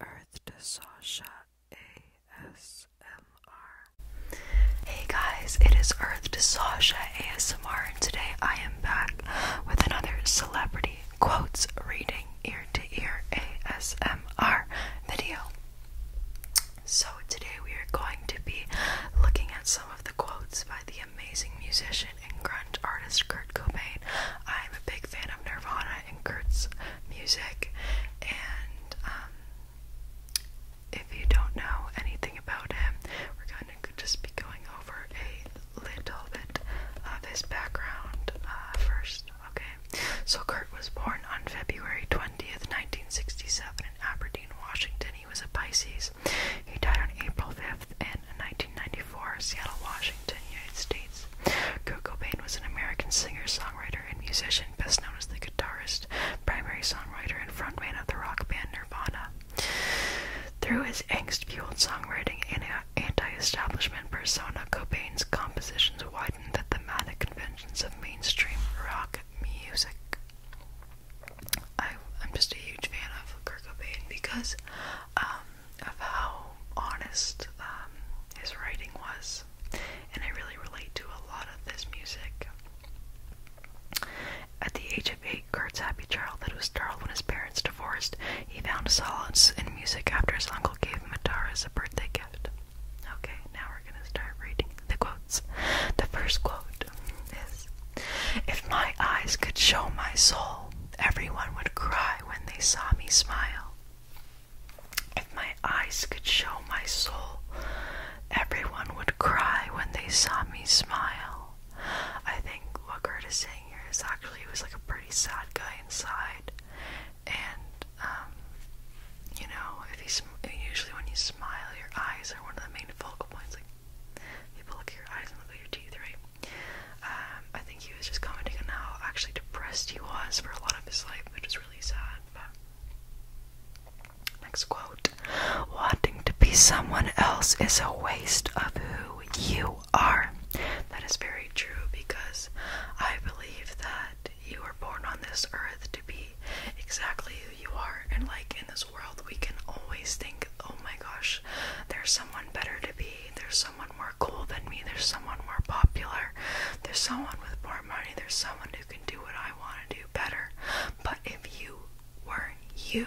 Earth to ASMR. Hey guys, it is Earth to Sasha ASMR, and today I am back with another celebrity quotes reading ear to ear ASMR video. So, today we are going to be looking at some of the quotes by the amazing musician and grunt artist Kurt Cobain. I'm a big fan of Nirvana and Kurt's music. And um, if you don't know anything about him, we're going to just be going over a little bit of his background uh, first. Okay, so Kurt was born on February 20th, 1967, in Aberdeen, Washington. He was a Pisces. He died on April 5th in 1995. 1974, Seattle, Washington, United States. Kurt Cobain was an American singer, songwriter, and musician, best known as the guitarist, primary songwriter, and frontman of the rock band Nirvana. Through his angst-fueled songwriting and anti-establishment persona, Cobain's compositions widened the thematic conventions of mainstream rock music. I, am just a huge fan of Kurt Cobain because um, of how honest um, his writing was, and I really relate to a lot of this music. At the age of eight, Kurt's happy child—that was startled when his parents divorced. He found solace in music after his uncle gave him a guitar birthday gift. Okay, now we're gonna start reading the quotes. The first quote is If my eyes could show my soul, everyone would cry when they saw me smile. If my eyes could show my soul, everyone would cry when they saw me smile. I think what Kurt is saying here is actually he was like a pretty sad guy inside, and um, you know, if he's usually when you smile, your eyes are one of the main focal points. Like people look at your eyes and look at your teeth, right? Um, I think he was just commenting on how actually depressed he was for a lot of his life, which is really sad. next quote: "Wanting to be someone else is a waste of who you are." That is very true because I believe that you were born on this earth to be exactly who you are, and like in this world, we can always think, "Oh my gosh, there's someone better to be. There's someone." More more cool than me, there's someone more popular, there's someone with more money, there's someone who can do what I want to do better. But if you weren't you,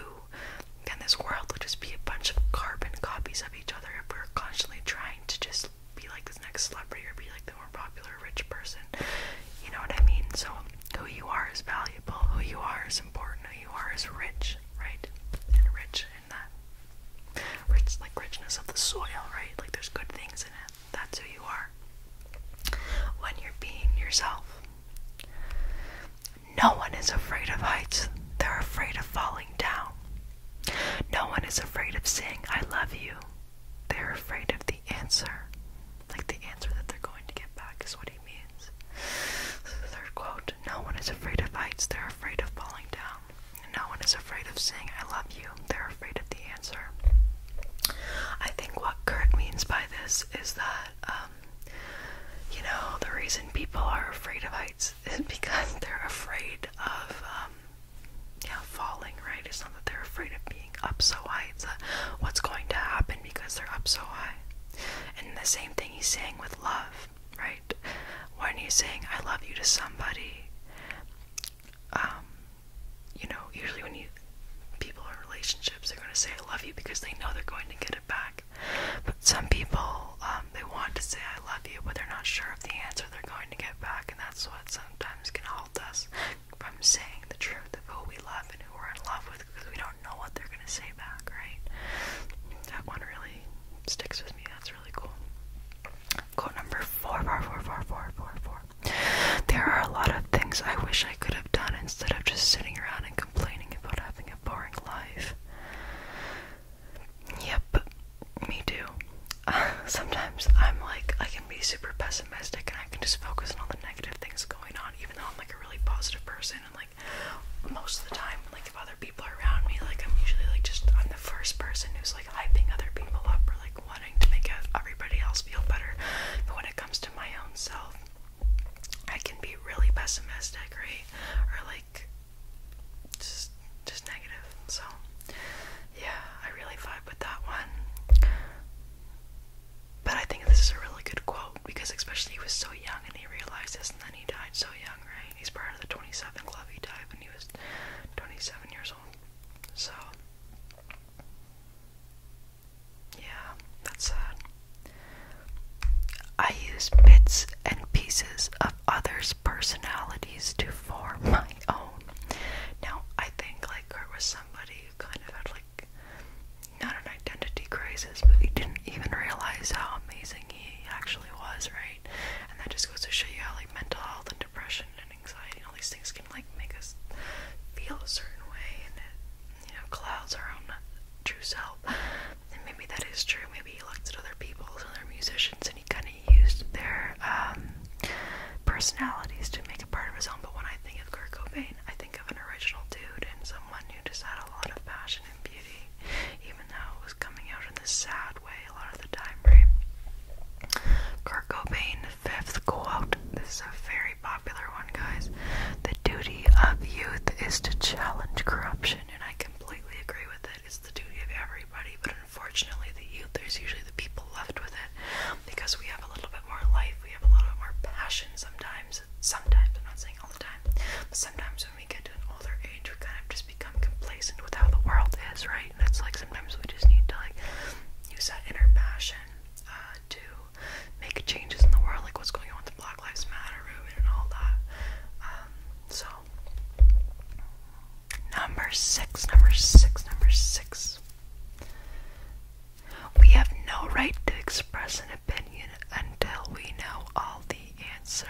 then this world would just be a bunch of carbon copies of each other if we're constantly trying to just be like this next celebrity or be like the more popular rich person. You know what I mean? So who you are is valuable, who you are is important, who you are is rich, right? And rich that rich like richness of the soil, right? Like there's good things in it. That's who you are. When you're being yourself. No one is afraid of heights. They're afraid of falling down. No one is afraid of saying I love you. They're afraid of the answer. Like the answer that they're going to get back is what he means. So the third quote, no one is afraid of heights, they're afraid of falling down. No one is afraid of saying I love you, they're afraid of the answer. I think what Kurt means by this is that, um, you know, the reason people are afraid of heights is because they're afraid of, um, yeah, falling, right? It's not that they're afraid of being up so high, it's what's going to happen because they're up so high. And the same thing he's saying with love love, right? When you saying I love you to somebody, um, you know, usually when you people in relationships, they're going to say I love you because they know they're going to get it back. But some people, um, they want to say I love you, but they're not sure of the answer they're going to get back, and that's what sometimes can halt us from saying the truth of who we love and who we're in love with because we don't know what they're going to say back, right? That one really sticks with me. That's really cool. Quote number four, four, four, four, four, four, four. There are a lot of things I wish I could have done instead of just sitting around and complaining about having a boring life. Yep, me too. sometimes I'm like, I can be super pessimistic and I can just focus on all the negative things going on, even though I'm like a really positive person and like most of the time, like like if other people are around me, like I'm usually like just I'm the first person who's like hyping other people up or like wanting to make everybody else feel better. But when it comes to my own self, I can be really pessimistic, right? Or like just just negative. So yeah, I really vibe with that one. But I think this is a really good quote because especially he was so young and he realized this and then he died so young, right? He's part of the 27 Club, he died when he was 27 years old. So, yeah, that's sad. I use bits and pieces of others' personalities to form my own. Now, I think like Kurt was somebody who kind of had like not an identity crisis, but he didn't even realize how amazing everything he actually was, right? And that just goes to show you how like mental health and depression and anxiety and all these things can like make us feel a certain way and it, you know, clouds our own true self. And maybe that is true. Maybe he looked at other people, other musicians, and he kind of used their um, personalities to make a part of his own. But when I think of Kurt Cobain, I think of an original dude and someone who just had a lot of passion and even though it was coming out in this sad way a lot of the time, right? fifth quote. This is a very popular one, guys. The duty of youth is to challenge corruption, and I completely agree with it. It's the duty of everybody, but unfortunately, the youth, there's usually the people left with it because we have a little bit more life, we have a little bit more passion sometimes. Sometimes, I'm not saying all the time, but sometimes as we get to an older age, we kind of just become complacent with how the world is, right? And it's like sometimes we just need to like use that inner passion uh, to make changes in the world, like what's going on with the Black Lives Matter movement and all that. Um, so, number six, number six, number six. We have no right to express an opinion until we know all the answers.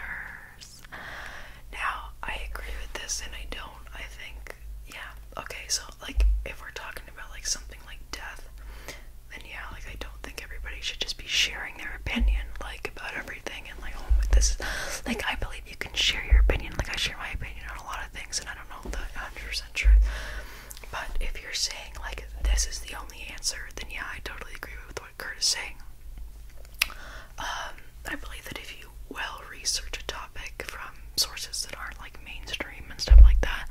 Now, I agree with this and I don't. I think, yeah, okay, so like if we're talking about like something like death, then yeah, like I don't think everybody should just be sharing their opinion like about everything and like, oh, this is like I believe you can share your opinion. Like I share my opinion on a lot of things and I don't know the 100% truth. But if you're saying like this is the only answer, then yeah, I totally agree with what what Kurt is saying. Um, I believe that if you well research a topic from sources that aren't like mainstream and stuff like that,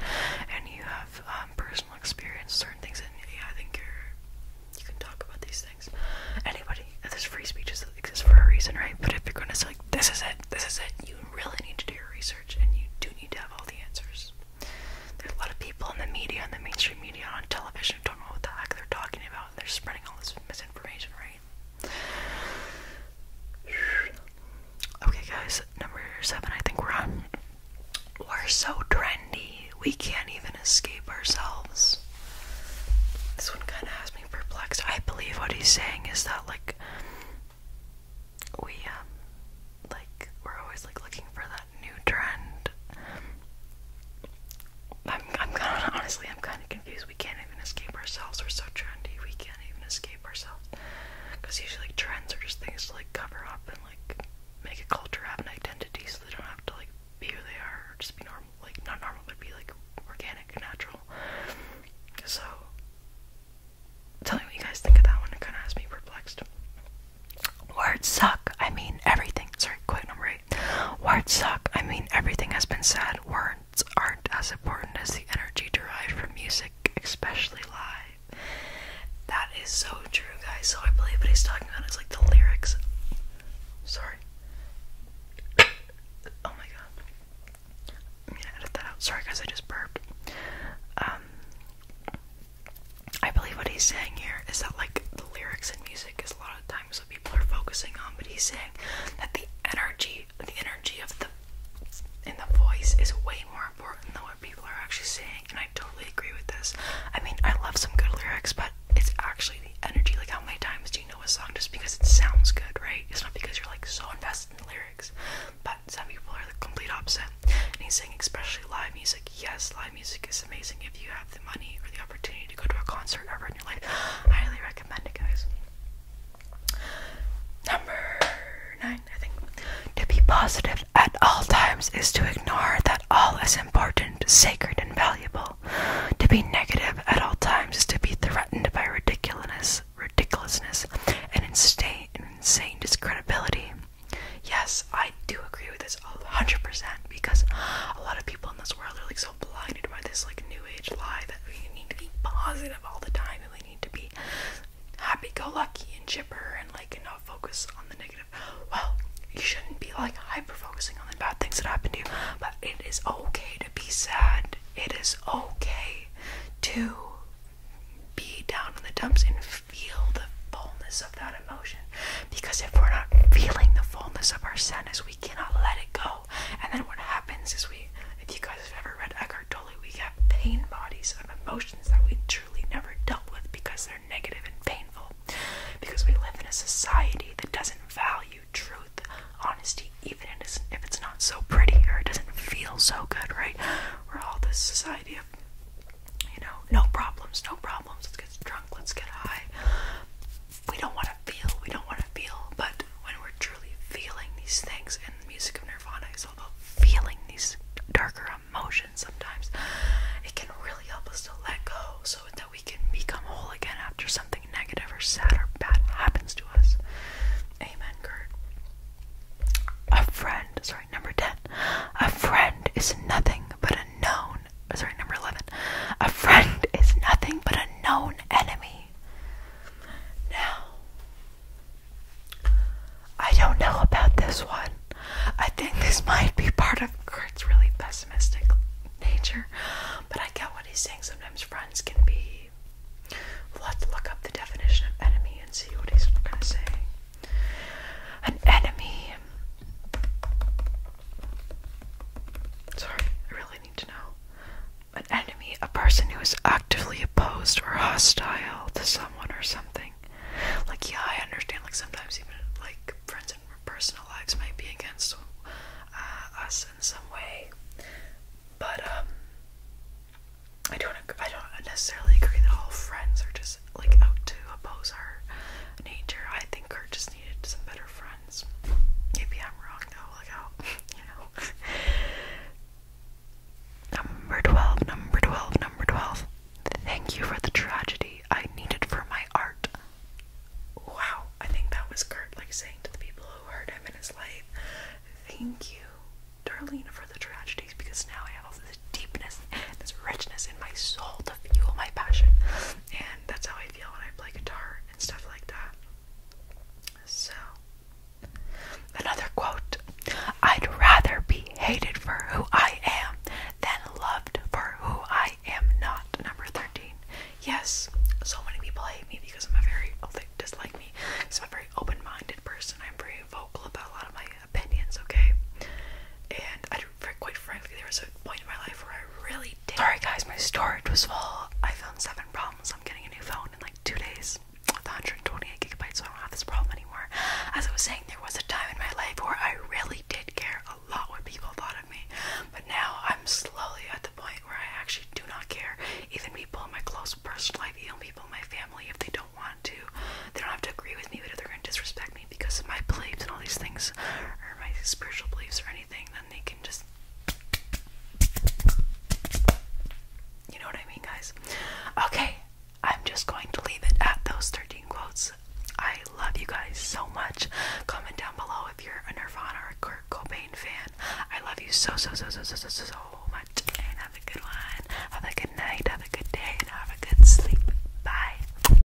and you have um, personal experience, certain things, and yeah, I think you're you can talk about these things. Anybody, there's free speeches that exist for a reason, right? But if you're gonna say like this is it, this is it, you really need to do your research, and you do need to have all the answers. There's a lot of people in the media, in the mainstream media, on television, who don't know what the heck they're talking about they're spreading all this misinformation, right? Okay, guys, number seven, I think we're on. We're so trendy, we can't even escape ourselves. This one kind of has me perplexed. I believe what he's saying is that, like, we, um, like, we're always, like, looking for that new trend. I'm, I'm kind of, honestly, I'm kind of confused. We can't even escape ourselves. We're so trendy. We can't even escape ourselves. Because usually trends are just things to like cover up and like make a culture have an identity so they don't have to like be who they are or just be normal. Like, not normal, but be like organic and natural. So, tell me what you guys think of that one. It kind of has me perplexed. Words suck. I mean everything. Sorry, quote number eight. Words suck. I mean, everything has been said. Words aren't as important as the energy derived from music, especially live. That is so true, guys. So I believe what he's talking about is like the lyrics. Sorry. oh my god. I'm gonna edit that out. Sorry, guys. I just burped. Um. I believe what he's saying here is that like the lyrics in music is a lot of time sometimes people are focusing on, but he's saying that the energy, the energy of the in the voice is way more important than what people are actually saying, and I totally agree with this. I mean, I love some good lyrics, but it's actually the energy. Like, how many times do you know a song just because it sounds good, right? It's not because you're like so invested in the lyrics. But some people are the complete opposite. And he's saying, especially live music. Yes, live music is amazing if you have the money or the opportunity to go to a concert ever in your life. I highly recommend it, guys. Number nine, I think. To be positive at all times is to ignore that all is important, sacred, and valuable. To be negative at all times is to be threatened by ridiculousness, ridiculousness, and insane, insane discredibility. Yes, I do agree with this is 100% because a lot of people in this world are like so blinded by this like new age lie that we need to be positive all the time and we need to be happy go lucky and chipper and like not focus on the negative. Well, you shouldn't be like hyper focusing on the bad things that happen to you, but it is okay to be sad. It is okay to be down in the dumps and feel the fullness of that emotion. Because if we're not feeling the fullness of our sadness, we cannot let it go. And then what happens is we, if you guys have ever read Eckhart Tolle, we get pain bodies of emotions that we truly never dealt with because they're negative and painful. Because we live in a society that doesn't value truth, honesty, even if it's not so pretty or it doesn't feel so good, right? We're all this society of, you know, no problems, no problems let's get drunk, let's get high. We don't want to feel, we don't want to feel, but when we're truly feeling these things, and the music of Nirvana is all about feeling these darker emotions sometimes, it can really help us to let go so that we can become whole again after something negative or sad or bad happens to us. Amen, Kurt. A friend, sorry, number 10. A friend is nothing but a known sorry, number 11. A friend is nothing but a known enemy. Now, I don't know about this one. I think this might be part of Kurt's really pessimistic nature, but I get what he's saying. Sometimes friends can be. Let's look up the definition of enemy and see what he's going to say. An enemy Sorry, I really need to know. An enemy, a person who is actively opposed or hostile to someone or something. Like, yeah, I understand, like, sometimes even, like, friends in personal lives might be against uh, us in some way. But, um, I don't, I don't necessarily agree that all friends are just, like, out to oppose our nature. I think. Kurt just needed some better friends. Maybe I'm wrong though, like how you know. Number twelve, number twelve, number twelve. Thank you for the tragedy I needed for my art. Wow, I think that was Kurt like saying to the people who hurt him in his life, Thank you, Darlene, for the tragedies, because now I have all this deepness, this richness in my soul to fuel my passion that's how I feel when I play guitar and stuff like that. So, another quote I'd rather be hated for who I am than loved for who I am not. Number 13. Yes, so many people hate me because I'm a very, oh, they dislike me because I'm a very open minded person. I'm very vocal about a lot of my opinions, okay? And I'd quite frankly, there was a point in my life where I really Sorry, guys, my storage was full. I found seven problems. I'm getting a new phone in like two days with 128 gigabytes, so I don't have this problem anymore. As I was saying, there was a time in my life where I really did care a lot what people thought of me, but now I'm slowly at the point where I actually do not care. Even people in my close personal life, even people in my family, if they don't want to, they don't have to agree with me, but if they're going to disrespect me, because of my beliefs and all these things, or my spiritual beliefs or anything, then they can just. You know what I mean, guys? Okay, I'm just going to leave it at those 13 quotes. I love you guys so much. Comment down below if you're a Nirvana or a Kurt Cobain fan. I love you so, so, so, so, so, so, so much. And have a good one. Have a good night. Have a good day. And have a good sleep. Bye.